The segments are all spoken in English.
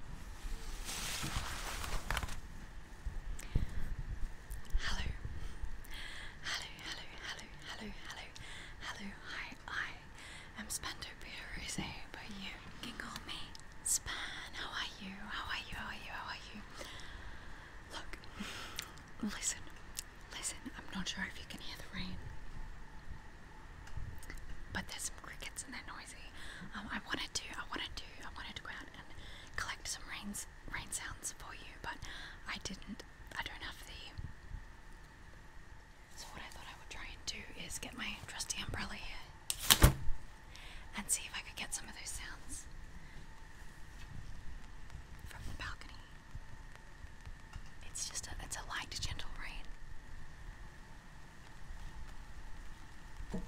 Hello. Hello, hello, hello, hello, hello, hello. Hi, I am Spando Rose, but you can call me Span. How are you? How are you? How are you? How are you? Look, listen, listen. I'm not sure if you can hear the rain. But there's some crickets and they're noisy. Um, I wanted to, I wanted to, I wanted to go out and collect some rains, rain sounds for you, but I didn't. I don't have the. So what I thought I would try and do is get my trusty umbrella here and see if I could get some of those sounds from the balcony. It's just a, it's a light, gentle rain you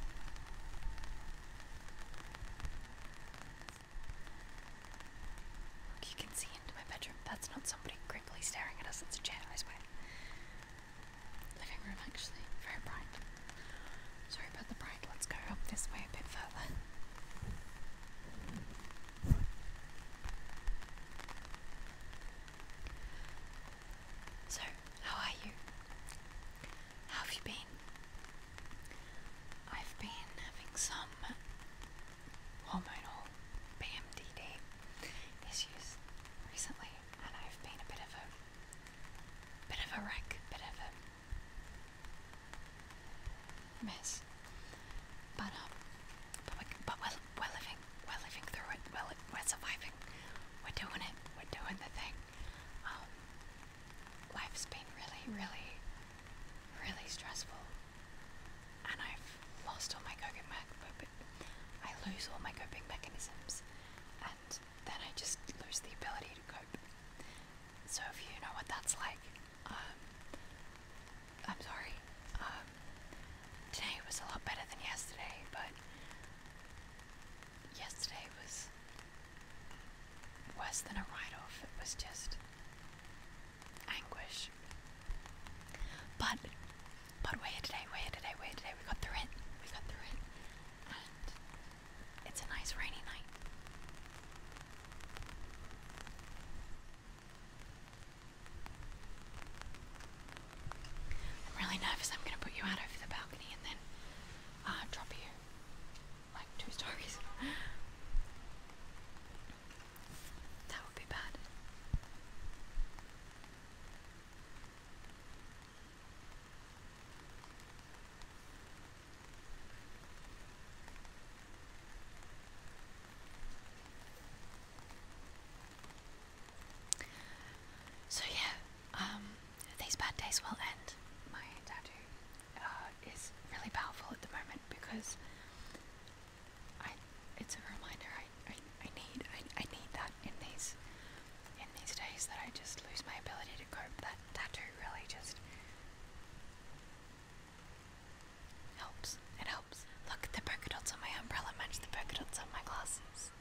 can see into my bedroom. That's not somebody creepily staring at us, it's a chair, I swear. Living room, actually, very bright. Sorry about the bright, let's go up this way a bit further. So, how are you? How have you been? I've been having some hormonal PMDD issues recently, and I've been a bit of a bit of a wreck, bit of a mess. But um, but but we're we're living, we're living through it, we're, surviving, we're doing it, we're doing the thing. Um, life's been really, really, really stressful, and I've lost all my coping mechanisms. I lose all my coping mechanisms, and then I just lose the ability to cope. So if you know what that's like, um, I'm sorry. Um, Today was a lot better than yesterday, but yesterday was worse than a write off. It was just anguish. But, but we're here today, we're here today, we're here today. We got through it, we got through it. And it's a nice rainy night. I'm really nervous. I'm going to put you out over the balcony and then I'll uh, drop you like two stories. that would be bad. So yeah, um, these bad days will end. My tattoo uh, is really powerful at the moment because I it's a reminder I, I, need I, I need that in these in these days that I just lose my ability to cope. That tattoo really just helps. It helps. Look, the polka dots on my umbrella match the polka dots on my glasses.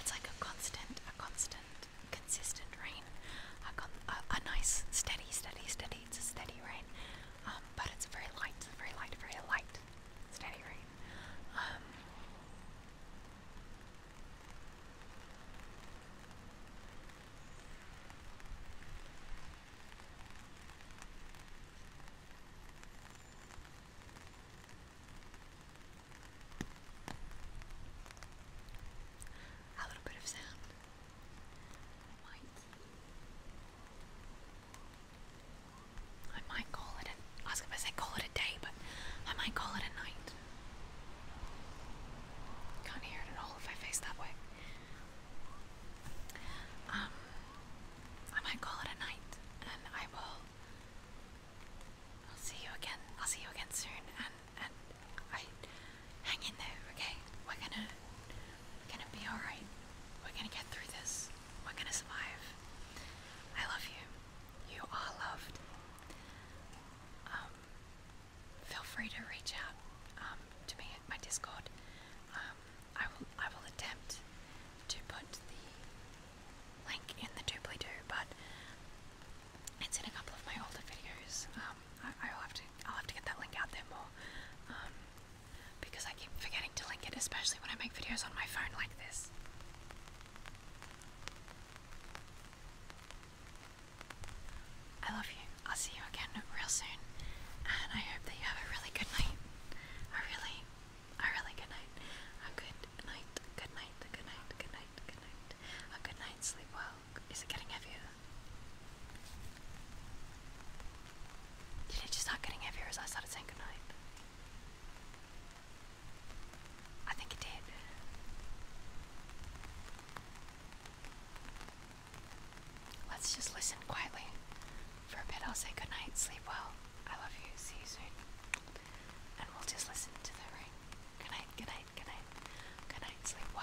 It's like a constant, a constant, consistent rain. A, nice, steady, steady, steady. It's a steady rain, um, but it's very light, very light, very light, steady rain. Um, a little bit of sound. I might call it a, I was gonna say call it a day, but I might call it a night. Can't hear it at all if I face that way. Um, I might call it a night, and I will. I'll see you again. I'll see you again soon, and and I hang in there, okay? We're gonna we're gonna be all right. We're gonna get through this. We're gonna survive. I love you. You are loved. Um, feel free to reach out um, to me at my Discord. Um, I will I will attempt to put the link in the doobly doo, but it's in a couple of my older videos. Um, I, I'll have to I'll have to get that link out there more um, because I keep forgetting to link it, especially when I make videos on my phone like this. I love you. I'll see you again real soon, and I hope that you have a really good night. A really, a really good night. A good night. Good night. Good night. Good night. Good night. A good night. Sleep well. Is it getting heavier? Did it just start getting heavier as I started saying good night? I think it did. Let's just listen quietly. For a bit, I'll say goodnight, sleep well. I love you, see you soon. And we'll just listen to the rain. Goodnight, goodnight, goodnight. Goodnight, sleep well.